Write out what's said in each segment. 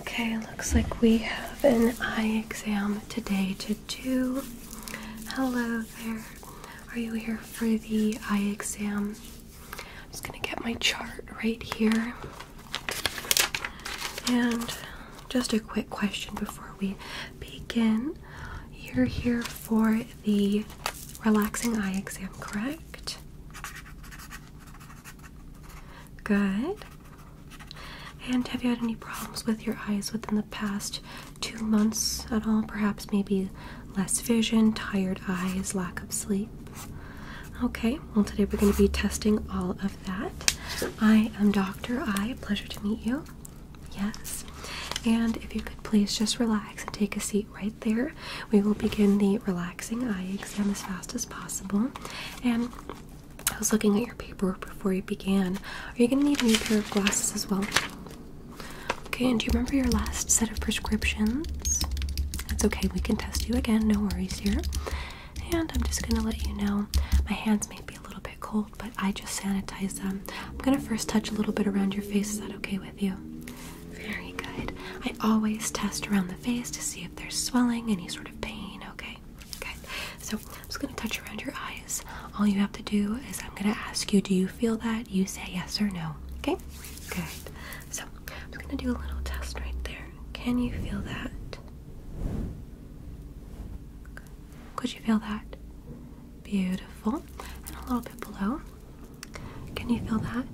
Okay, looks like we have an eye exam today to do. Hello there. Are you here for the eye exam? I'm just going to get my chart right here. And just a quick question before we begin. You're here for the relaxing eye exam, correct? Good. And have you had any problems with your eyes within the past two months at all? Perhaps maybe less vision, tired eyes, lack of sleep? Okay, well, today we're going to be testing all of that. I am Dr. I. Pleasure to meet you. Yes. And if you could please just relax and take a seat right there we will begin the relaxing eye exam as fast as possible. And I was looking at your paperwork before you began. Are you going to need a new pair of glasses as well? Okay, and do you remember your last set of prescriptions? That's okay, we can test you again, no worries here. And I'm just gonna let you know my hands may be a little bit cold, but I just sanitize them. I'm gonna first touch a little bit around your face. Is that okay with you? Very good. I always test around the face to see if there's swelling, any sort of pain, okay? Okay, so I'm just gonna touch around your eyes. All you have to do is I'm gonna ask you, do you feel that? You say yes or no, okay? Good. So I'm gonna do a little test right there. Can you feel that? Could you feel that? Beautiful. And a little bit below. Can you feel that?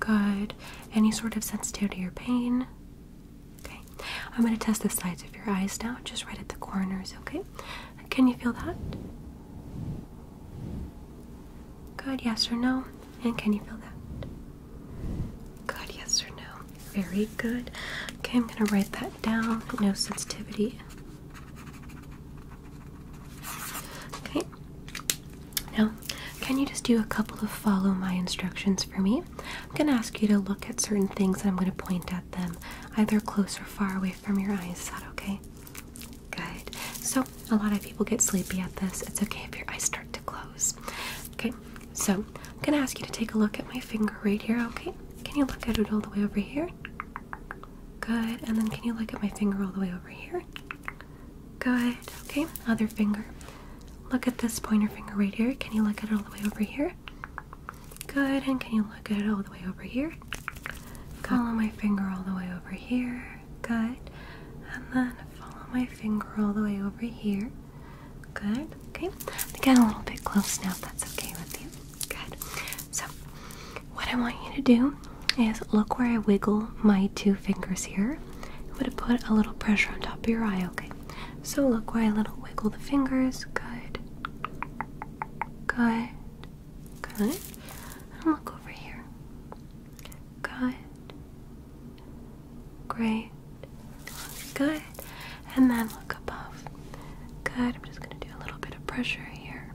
Good. Any sort of sensitivity or pain? Okay. I'm going to test the sides of your eyes now, just right at the corners, okay? Can you feel that? Good, yes or no? And can you feel that? Good, yes or no? Very good. Okay, I'm going to write that down. No sensitivity. Okay. Now, can you just do a couple of follow my instructions for me? I'm going to ask you to look at certain things and I'm going to point at them, either close or far away from your eyes. Is that okay? Good. So, a lot of people get sleepy at this. It's okay if your eyes start to close. Okay, so I'm going to ask you to take a look at my finger right here, okay? Can you look at it all the way over here? Good. And then can you look at my finger all the way over here? Good. Okay, other finger. Look at this pointer finger right here. Can you look at it all the way over here? Good. And can you look at it all the way over here? Follow my finger all the way over here. Good. And then follow my finger all the way over here. Good. Okay. Again, a little bit close now that's okay with you. Good. So, what I want you to do is look where I wiggle my two fingers here. I'm going to put a little pressure on top of your eye, okay? So look where I little wiggle the fingers. Good. Good. Good. look over here. Good. Great. Good. And then look above. Good. I'm just going to do a little bit of pressure here.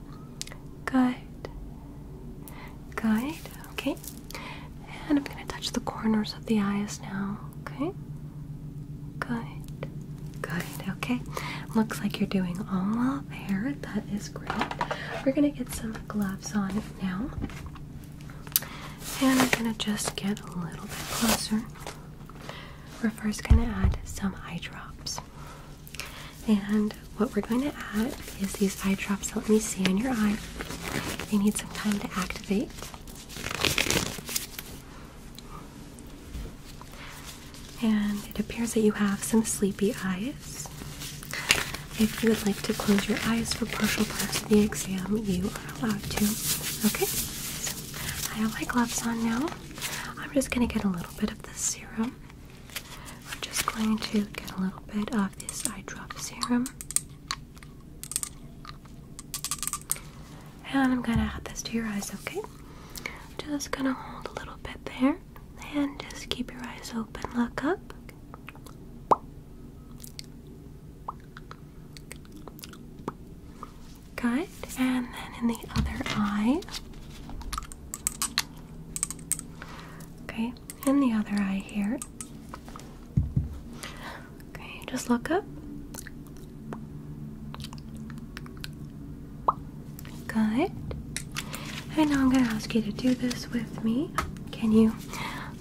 Good. Good. Okay. And I'm going to touch the corners of the eyes now, okay? Good. Good. Okay. Looks like you're doing all well That is great. We're going to get some gloves on now. And we're going to just get a little bit closer. We're first going to add some eye drops. And what we're going to add is these eye drops that let me see on your eye. They need some time to activate. And it appears that you have some sleepy eyes. If you would like to close your eyes for partial parts of the exam, you are allowed to. Okay, so I have my gloves on now. I'm just going to get a little bit of the serum I'm just going to get a little bit of this eye drop serum. And I'm gonna add this to your eyes, okay? Just gonna hold a little bit there and just keep your eyes open. Look up. Good. And then in the other eye. Okay, and the other eye here. Okay, just look up. Good. And now I'm going to ask you to do this with me. Can you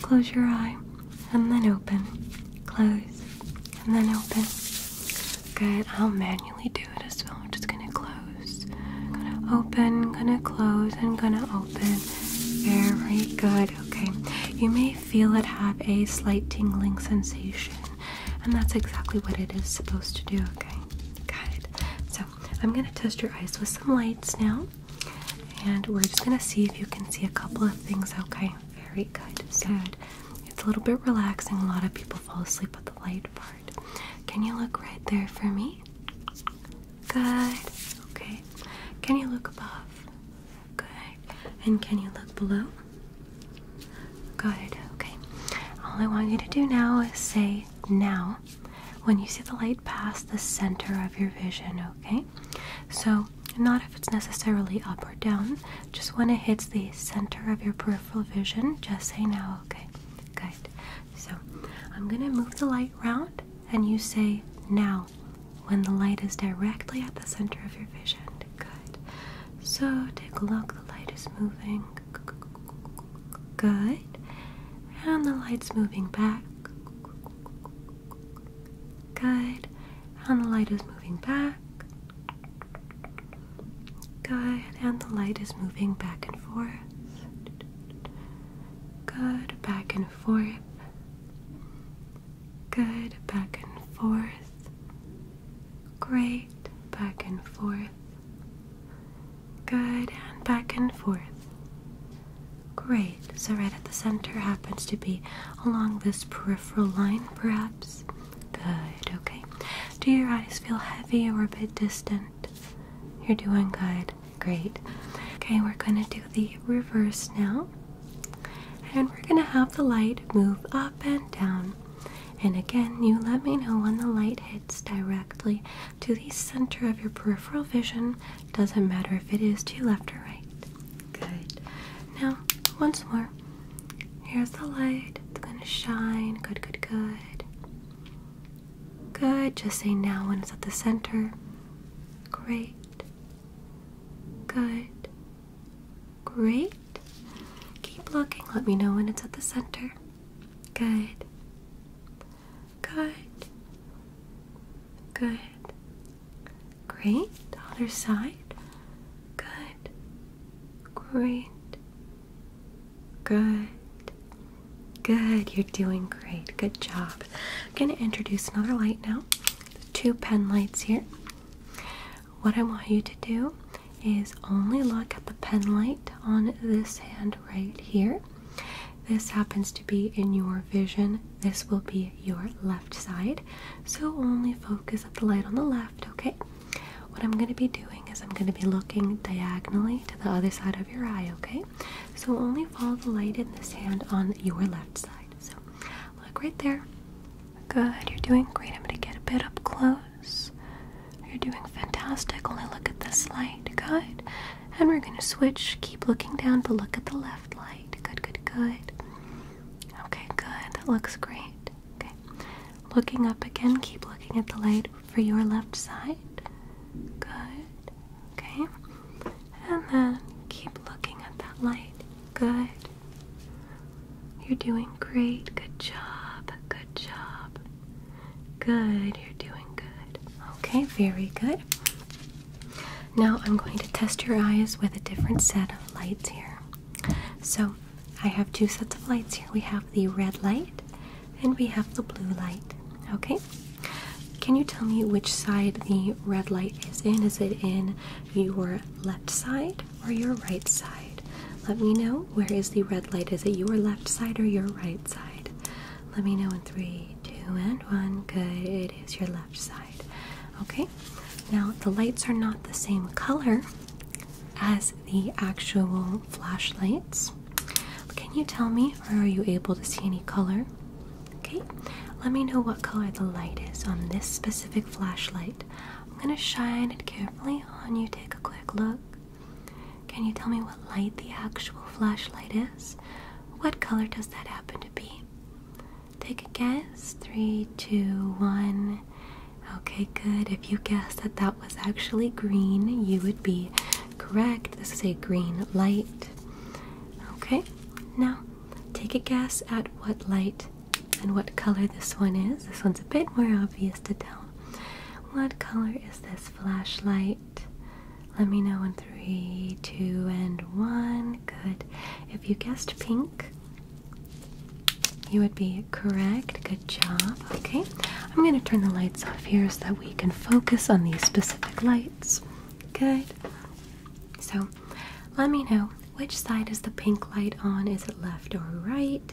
close your eye and then open? Close and then open. Good. I'll manually do it as well. I'm just going to close close. Gonna open, gonna close, and gonna open. Very good. Okay. You may feel it have a slight tingling sensation, and that's exactly what it is supposed to do. Okay. Got So I'm gonna test your eyes with some lights now, and we're just gonna see if you can see a couple of things. Okay. Very good. Good. It's a little bit relaxing. A lot of people fall asleep with the light part. Can you look right there for me? Good. Okay. Can you look above? Good. And can you look below? Good. Okay. All I want you to do now is say now when you see the light pass the center of your vision, okay? So, not if it's necessarily up or down, just when it hits the center of your peripheral vision, just say now, okay? Good. So, I'm gonna move the light around and you say now when the light is directly at the center of your vision. Good. So take a look, the light is moving. Good. And the light's moving back. Good. And the light is moving back. Good. And the light is moving back and forth. Good, back and forth. Good, back and forth. Great, back and forth. Good, and back and forth. Great. So, right at the center happens to be along this peripheral line, perhaps. Good, okay. Do your eyes feel heavy or a bit distant? You're doing good. Great. Okay, we're going to do the reverse now. And we're going to have the light move up and down. And again, you let me know when the light hits directly to the center of your peripheral vision. Doesn't matter if it is to left or right. Good. Now, once more. Here's the light. It's going to shine. Good, good, good. Good. Just say now when it's at the center. Great. Good. Great. Keep looking. Let me know when it's at the center. Good. Good. Good. Great. Other side. Good. Great. Good. Good, you're doing great. Good job. I'm going to introduce another light now. Two pen lights here. What I want you to do is only look at the pen light on this hand right here. This happens to be in your vision. This will be your left side. So only focus at the light on the left, okay? What I'm going to be doing is I'm going to be looking diagonally to the other side of your eye, okay? So only follow the light in the sand on your left side. So look right there. Good, you're doing great. I'm gonna get a bit up close. You're doing fantastic. Only look at this light. Good. And we're gonna switch. Keep looking down, but look at the left light. Good, good, good. Okay, good. That looks great. Okay. Looking up again, keep looking at the light for your left side. Good. Okay? And then keep looking at that light. Good. You're doing great. Good job. Good job. Good. You're doing good. Okay, very good. Now I'm going to test your eyes with a different set of lights here. So I have two sets of lights here. We have the red light and we have the blue light. Okay, can you tell me which side the red light is in? Is it in your left side or your right side? Let me know where is the red light? Is it your left side or your right side? Let me know in three, two, and one. Good, it is your left side. Okay, now the lights are not the same color as the actual flashlights. Can you tell me, or are you able to see any color? Okay, let me know what color the light is on this specific flashlight. I'm gonna shine it carefully on you, take a quick look. Can you tell me what light the actual flashlight is? What color does that happen to be? Take a guess. Three, two, one. Okay, good. If you guessed that that was actually green, you would be correct. This is a green light. Okay, now take a guess at what light and what color this one is. This one's a bit more obvious to tell. What color is this flashlight? Let me know in three, two, and one. Good. If you guessed pink, you would be correct. Good job. Okay, I'm going to turn the lights off here so that we can focus on these specific lights. Good. So let me know which side is the pink light on. Is it left or right?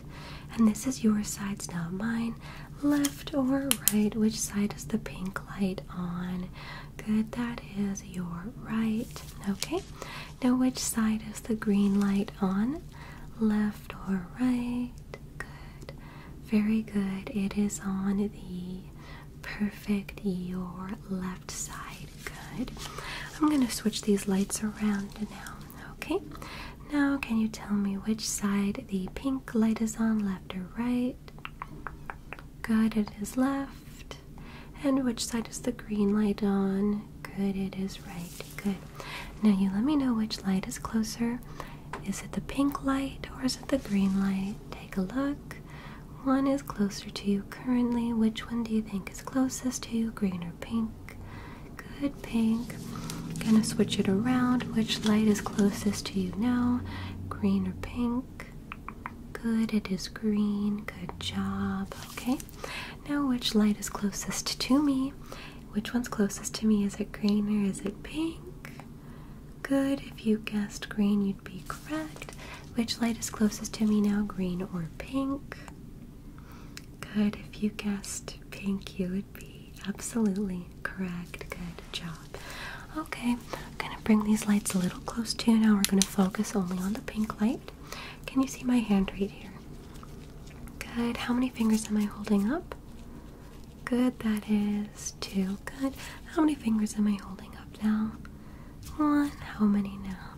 And this is your side's not mine. Left or right? Which side is the pink light on? Good, that is your right. Okay. Now, which side is the green light on? Left or right? good, very good. It is on the perfect your left side. Good. I'm gonna switch these lights around now. Okay. Now can you tell me which side the pink light is on, left or right? Good, it is left. And which side is the green light on? Good, it is right. Good. Now you let me know which light is closer is it the pink light or is it the green light? Take a look. One is closer to you currently. Which one do you think is closest to you, green or pink? Good pink. Gonna switch it around. Which light is closest to you now, green or pink? Good, it is green. Good job. Okay, now which light is closest to me? Which one's closest to me? Is it green or is it pink? Good. If you guessed green, you'd be correct. Which light is closest to me now, green or pink? Good. If you guessed pink, you would be absolutely correct. Good job. Okay, I'm going to bring these lights a little close to now. We're going to focus only on the pink light. Can you see my hand right here? Good. How many fingers am I holding up? Good, that is two. Good. How many fingers am I holding up now? One. How many now?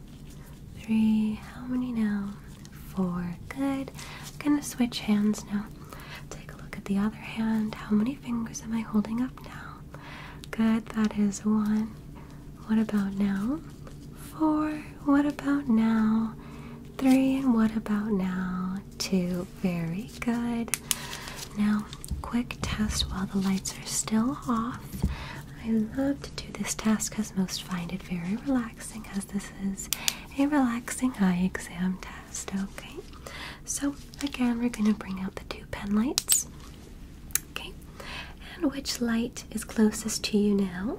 Three. How many now? Four. Good. I'm gonna switch hands now. Take a look at the other hand. How many fingers am I holding up now? Good, that is one. What about now? Four. What about now? Three. And what about now? two. Very good. Now, quick test while the lights are still off. I love to do this test because most find it very relaxing, as this is a relaxing eye exam test. Okay, so again, we're going to bring out the two pen lights. Okay, and which light is closest to you now?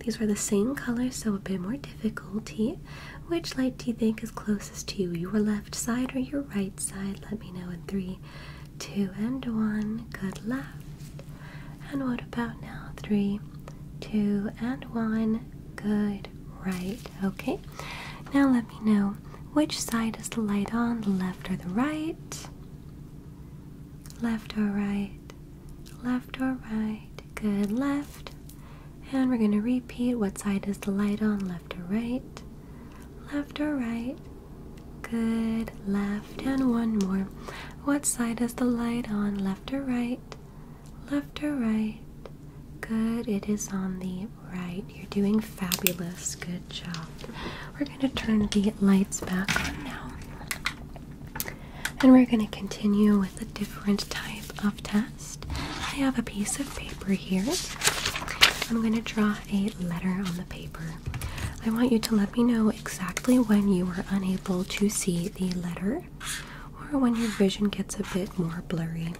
These were the same color, so a bit more difficulty. Which light do you think is closest to you? Your left left side or your right side? Let me know in three, two, and one. Good left. And what about now? Three, two, and one. Good right. Okay. Now let me know which side is the light on, left or the right? Left or right? Left or right? Good left. And we're going to repeat what side is the light on, left or right? Left or right? Good. Left and one more. What side is the light on, left or right? Left or right? Good. It is on the right. You're doing fabulous. Good job. We're going to turn the lights back on now. And we're going to continue with a different type of test. I have a piece of paper here. I'm going to draw a letter on the paper. I want you to let me know exactly when you are unable to see the letter or when your vision gets a bit more blurry.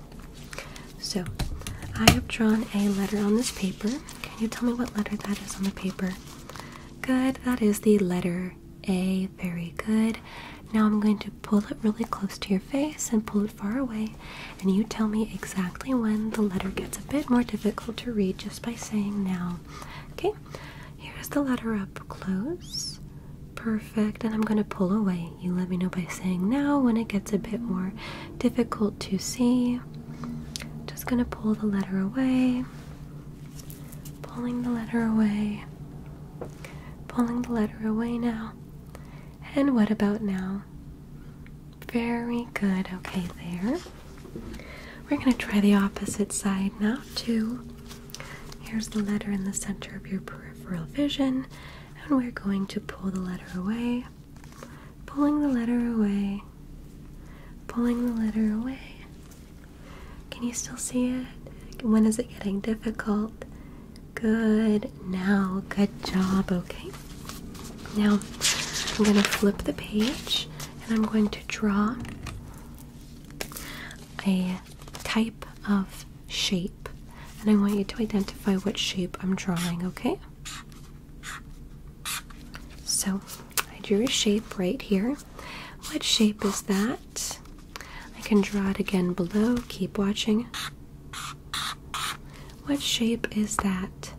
So, I have drawn a letter on this paper. Can you tell me what letter that is on the paper? Good, that is the letter A. Very good. Now I'm going to pull it really close to your face and pull it far away, and you tell me exactly when the letter gets a bit more difficult to read just by saying now. Okay, here's the letter up close. Perfect, and I'm going to pull away. You let me know by saying now when it gets a bit more difficult to see. Just going to pull the letter away, pulling the letter away, pulling the letter away now. And what about now? Very good. Okay, there. We're going to try the opposite side now, too. Here's the letter in the center of your peripheral vision, and we're going to pull the letter away, pulling the letter away, pulling the letter away. Can you still see it? When is it getting difficult? Good. Now, good job. Okay. Now, I'm going to flip the page and I'm going to draw a type of shape. And I want you to identify what shape I'm drawing, okay? So, I drew a shape right here. What shape is that? I can draw it again below. Keep watching. What shape is that?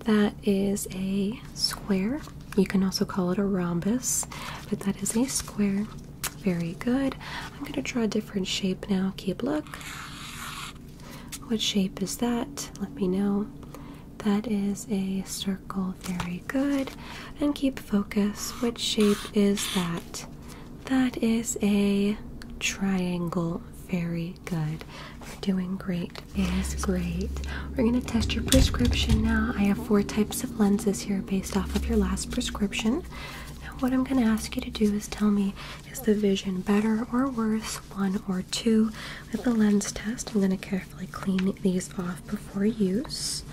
That is a square. You can also call it a rhombus, but that is a square. Very good. I'm going to draw a different shape now. Keep look. What shape is that? Let me know. That is a circle. Very good. And keep focus. What shape is that? That is a triangle. Very good. You're doing great. Yes, great. We're going to test your prescription now. I have four types of lenses here based off of your last prescription. Now, what I'm going to ask you to do is tell me is the vision better or worse, one or two? With the lens test, I'm going to carefully clean these off before use.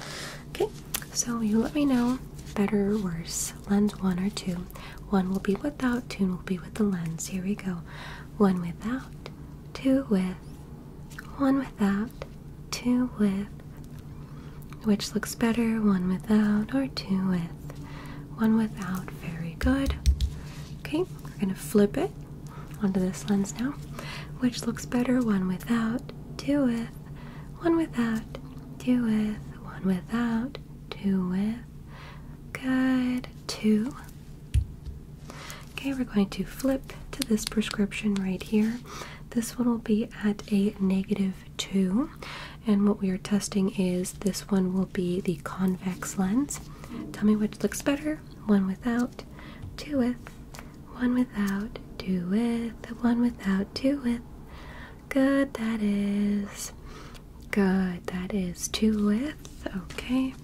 Okay, so you let me know better or worse. Lens one or two. One will be without, two will be with the lens. Here we go. One without, two with, one without, two with. Which looks better, one without or two with? One without. Very good. Okay, we're going to flip it onto this lens now. Which looks better, one without, two with, one without, two with, one without, two with. Good, two. Okay, we're going to flip to this prescription right here. This one will be at a negative two, and what we are testing is this one will be the convex lens. Tell me which looks better one without, two with, one without, two with, one without, two with. Good, that is. Good, that is two with Okay.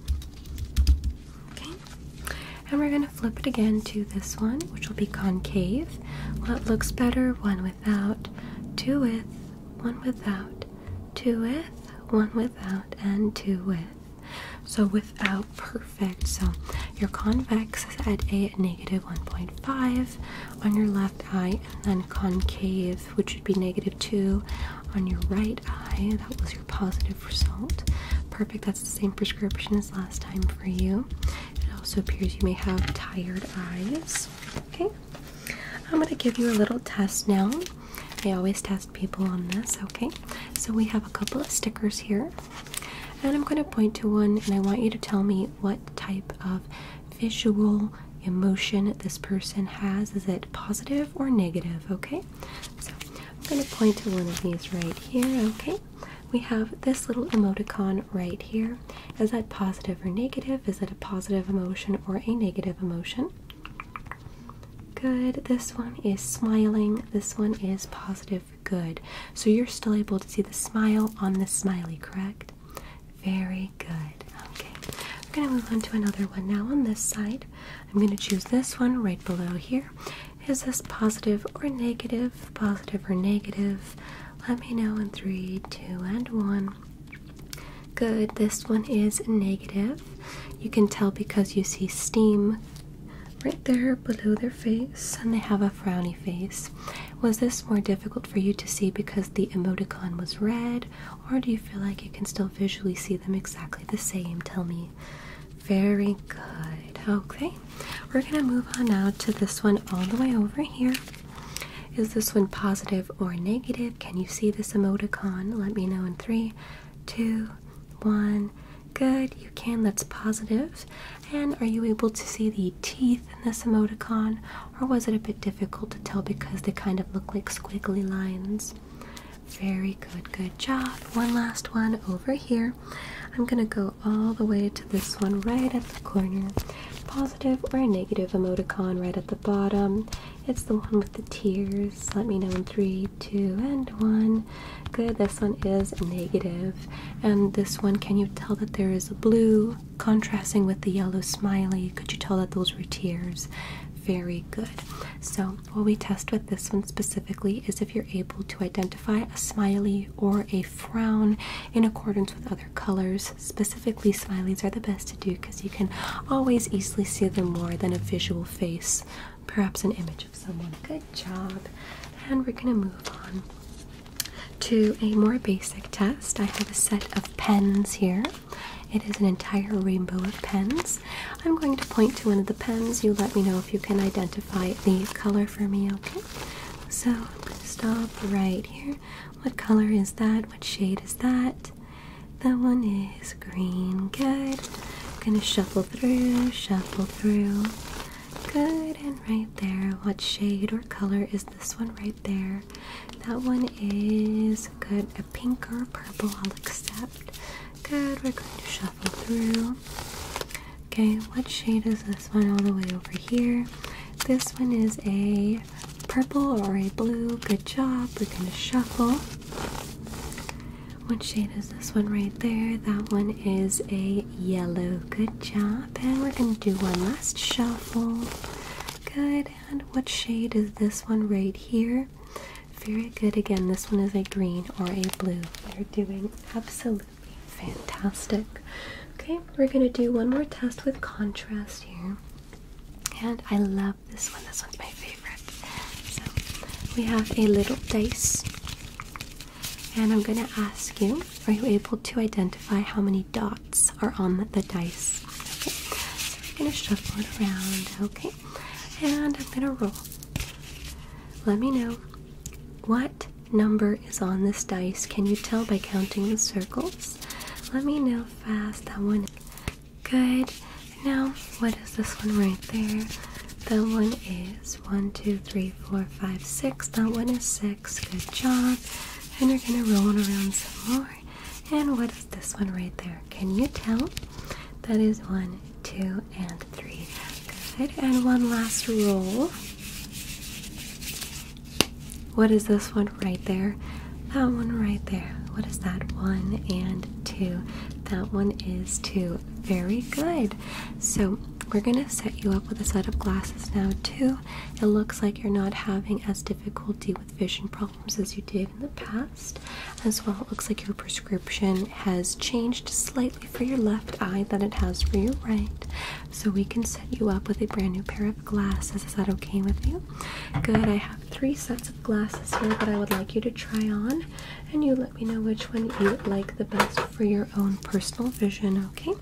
Okay. And we're going to flip it again to this one, which will be concave. Well, it looks better? One without, two with, one without, two with, one without, and two with. So without perfect. So your convex is at a negative 1.5, on your left eye, and then concave, which would be negative 2 on your right eye. That was your positive result. Perfect, that's the same prescription as last time for you. It also appears you may have tired eyes. Okay, I'm going to give you a little test now. I always test people on this, okay? So we have a couple of stickers here, and I'm going to point to one, and I want you to tell me what type of visual emotion this person has. Is it positive or negative? Okay, so I'm going to point to one of these right here. Okay, we have this little emoticon right here. Is that positive or negative? Is that a positive emotion or a negative emotion? Good. This one is smiling. This one is positive. Good. So you're still able to see the smile on the smiley, correct? Very good. Okay. We're going to move on to another one now on this side. I'm going to choose this one right below here. Is this positive or negative? Positive or negative? Let me know in three, two, and one. Good. This one is negative. You can tell because you see steam right there below their face and they have a frowny face. Was this more difficult for you to see because the emoticon was red, or do you feel like you can still visually see them exactly the same? Tell me. Very good. Okay, we're gonna move on now to this one all the way over here. Is this one positive or negative? Can you see this emoticon? Let me know in three, two, one. Good, you can. That's positive. And are you able to see the teeth in this emoticon, or was it a bit difficult to tell because they kind of look like squiggly lines? Very good, good job. One last one over here. I'm gonna go all the way to this one right at the corner. Positive or negative emoticon right at the bottom. It's the one with the tears. Let me know in three, two, and one. Good, this one is negative. And this one, can you tell that there is a blue, Contrasting with the yellow smiley, could you tell that those were tears? Very good. So, what we test with this one specifically is if you're able to identify a smiley or a frown in accordance with other colors. Specifically, smileys are the best to do because you can always easily see them more than a visual face, perhaps an image of someone. Good job. And we're going to move on to a more basic test. I have a set of pens here. It is an entire rainbow of pens. I'm going to point to one of the pens. You let me know if you can identify the color for me, okay? So I'm going to stop right here. What color is that? What shade is that? That one is green. Good. I'm going to shuffle through, shuffle through. Good, and right there. What shade or color is this one right there? That one is good. A pink or purple, I'll accept. Good, we're going to shuffle through. Okay, what shade is this one all the way over here? This one is a purple or a blue. Good job. We're going to shuffle. What shade is this one right there? That one is a yellow. Good job. And we're going to do one last shuffle. Beautiful. Good. And what shade is this one right here? Very good. Again, this one is a green or a blue. You're doing absolutely fantastic. Okay, we're going to do one more test with contrast here. And I love this one. This one's my favorite. So we have a little dice. And I'm going to ask you are you able to identify how many dots are on the dice? Okay, so I'm gonna shuffle it around, okay? And I'm gonna roll. Let me know what number is on this dice. Can you tell by counting the circles? Let me know fast. That one good. Now, what is this one right there? That one is one, two, three, four, five, six. That one is six. Good job and you're gonna roll it around some more. And what is this one right there? Can you tell? That is one, two, and three. Good. And one last roll. What is this one right there? That one right there. What is that? One and two. That one is two. Very good. So we're gonna set you up with a set of glasses now, too it looks like you're not having as difficulty with vision problems as you did in the past. As well, it looks like your prescription has changed slightly for your left eye than it has for your right. So we can set you up with a brand new pair of glasses. Is that okay with you? Good. I have three sets of glasses here that I would like you to try on, and you let me know which one you like the best for your own personal vision, okay?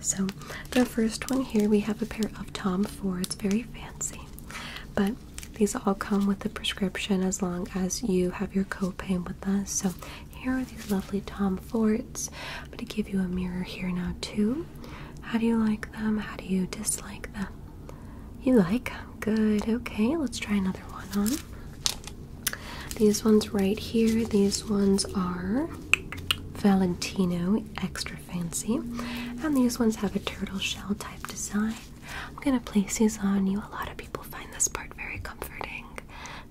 So, the first one here we have a pair of Tom Fords, very fancy, but these all come with a prescription as long as you have your copay with us. So, here are these lovely Tom Fords. I'm going to give you a mirror here now, too. How do you like them? How do you dislike them? You like them? Good. Okay, let's try another one on. These ones right here, these ones are Valentino extra fancy. And these ones have a turtle shell type design. I'm gonna place these on you. A lot of people find this part very comforting.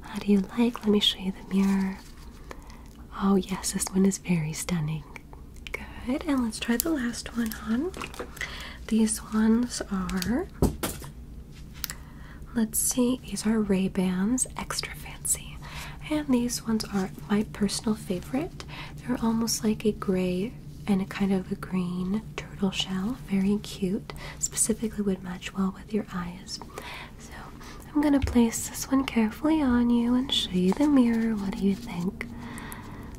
How do you like? Let me show you the mirror. Oh, yes, this one is very stunning. Good, and let's try the last one on. These ones are, let's see, these are Ray-Bans, extra fancy fancy. And these ones are my personal favorite. They're almost like a gray and a kind of a green turtle shell. Very cute. Specifically would match well with your eyes. So I'm gonna place this one carefully on you and show you the mirror. What do you think?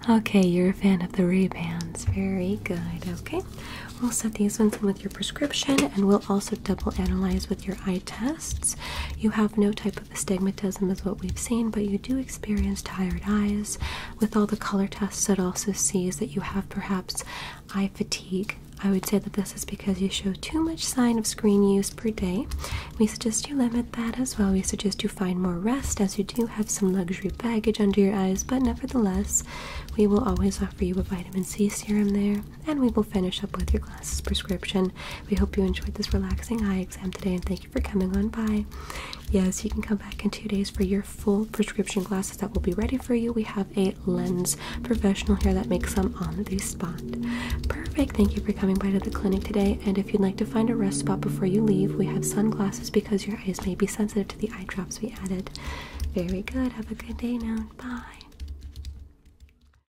Okay, you're a fan of the ribands. Very good. Okay, we'll set these ones with your prescription and we'll also double analyze with your eye tests. You have no type of of astigmatism is what we've seen, but you do experience tired eyes. With all the color tests, it also sees that you have perhaps eye fatigue. I would say that this is because you show too much sign of screen use per day. We suggest you limit that as well. We suggest you find more rest as you do have some luxury baggage under your eyes, but nevertheless, we will always offer you a vitamin C serum there and we will finish up with your glasses prescription. We hope you enjoyed this relaxing eye exam today and thank you for coming on by. Yes, you can come back in two days for your full prescription glasses that will be ready for you. We have a lens professional here that makes them on the spot. Perfect. Thank you for coming by to the clinic today. And if you'd like to find a rest spot before you leave, we have sunglasses because your eyes may be sensitive to the eye drops we added. Very good. Have a good day now. Bye.